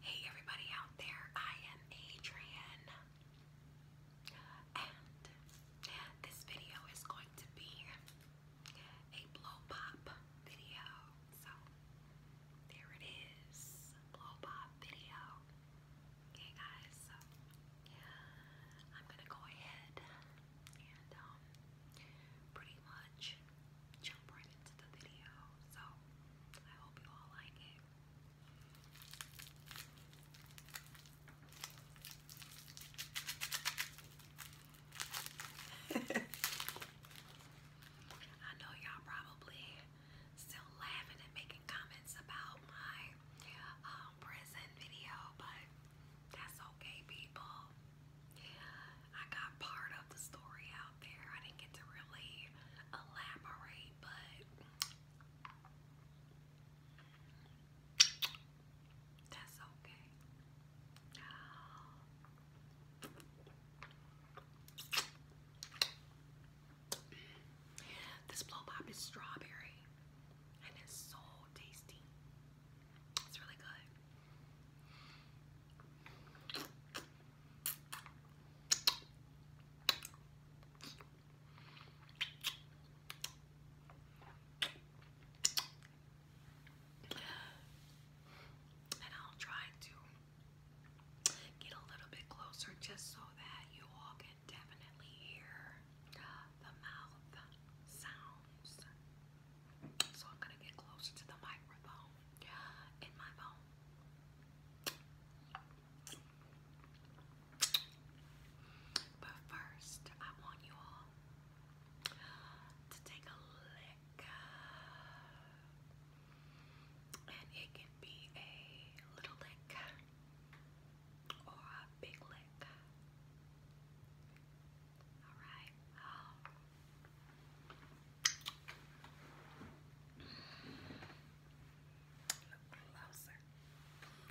Hey everybody out there, I am Adrian, and this video is going to be a blow pop video. So there it is, blow pop video. Okay, guys, so I'm gonna go ahead and um, pretty much jump right into the video. So I hope you all like it. I know y'all probably still laughing and making comments about my um, prison video, but that's okay, people. I got part of the story out there. I didn't get to really elaborate, but that's okay. This blow pop is strawberry and it's so tasty. It's really good. And I'll try to Get a little bit closer just so that you all can definitely hear the mouth sounds. So I'm going to get closer to the microphone in my phone. But first, I want you all to take a lick and it can be a little lick or a big lick. Alright.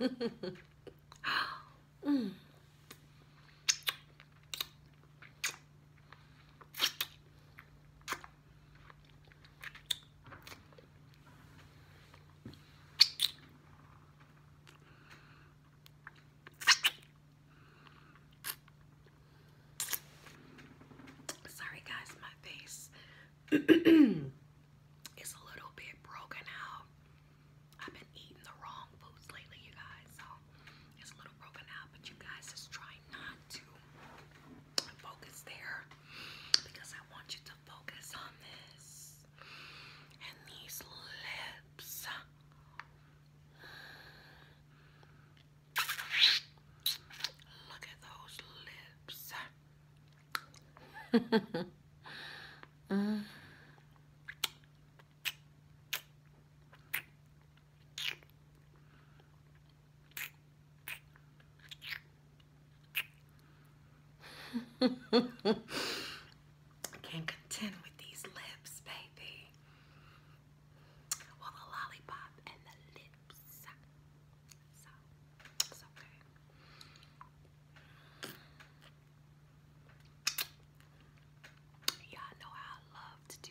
Um. Look closer. mm. Sorry guys, my face is a little bit broken out. I've been eating the wrong foods lately, you guys, but you guys just try not to focus there because I want you to focus on this and these lips. Look at those lips. Uh. Can't contend with these lips, baby. Well, the lollipop and the lips. So, it's know how I love to do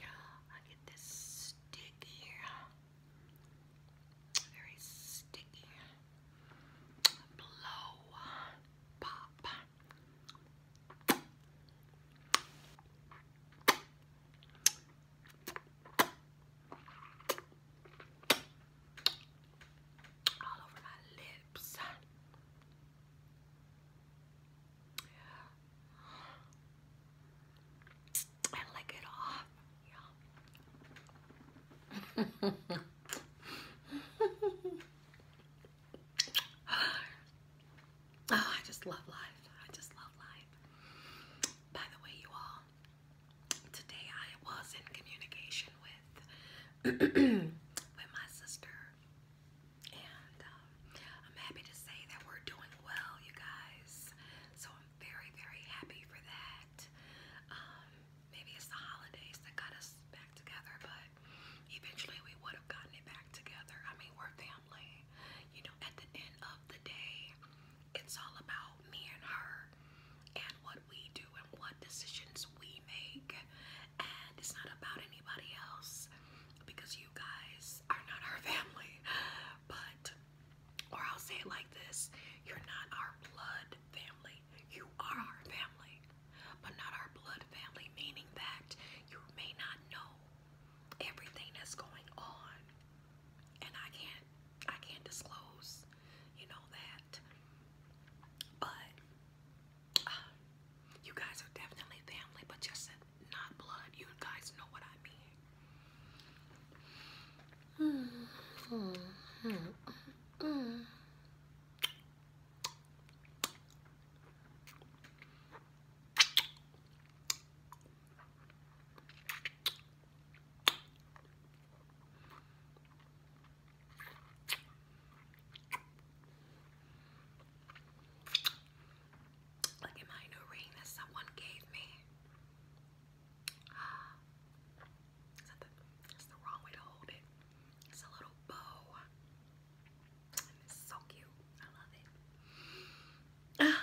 I get this sticky, very sticky blow pop all over my lips. And lick it off. oh, I just love life. I just love life. By the way, you all, today I was in communication with with my sister, and um, I'm happy to say that we're doing well, you guys. So I'm very, very happy for that. Um, maybe it's the holidays that got us back together, but eventually we would have gotten it back together. I mean, we're family. You know, at the end of the day, it's all about me and her and what we do and what decisions we make, and it's not about anybody else because you guys are not our family. But, or I'll say it like this you're not our blood family, you are our family, but not our blood family, meaning that you may not know everything that's going on and I can't I can't disclose, you know that. But uh, you guys are definitely family, but just not blood. You guys know what I mean. Look at my new ring that someone gave me. Ah, the, wrong way to hold it. It's a little bow. it's so cute. I love it. Ah.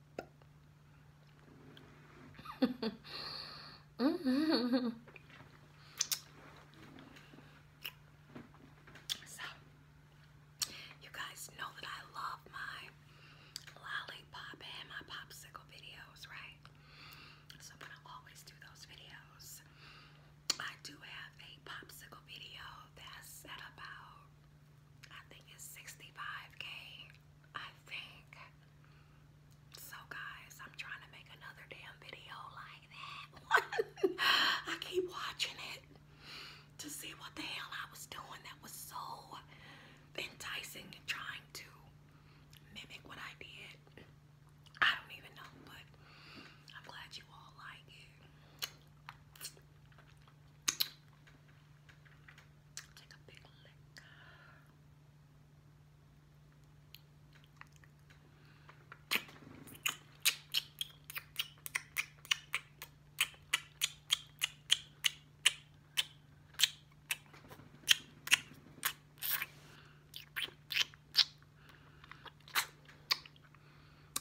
you guys know that I love my lollipop and my popsicle videos, right? So, I'm gonna always do those videos. I do have a popsicle video that's at about, I think it's 65k. So guys, I'm trying to make another damn video like that. I keep watching it to see what the hell I was doing that was so enticing and trying to mimic what I did. I don't even know, but I'm glad you all like it.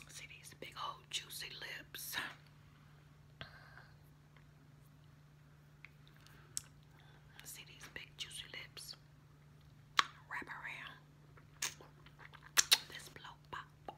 See these big old juicy lips. See these big juicy lips wrap around this blow pop.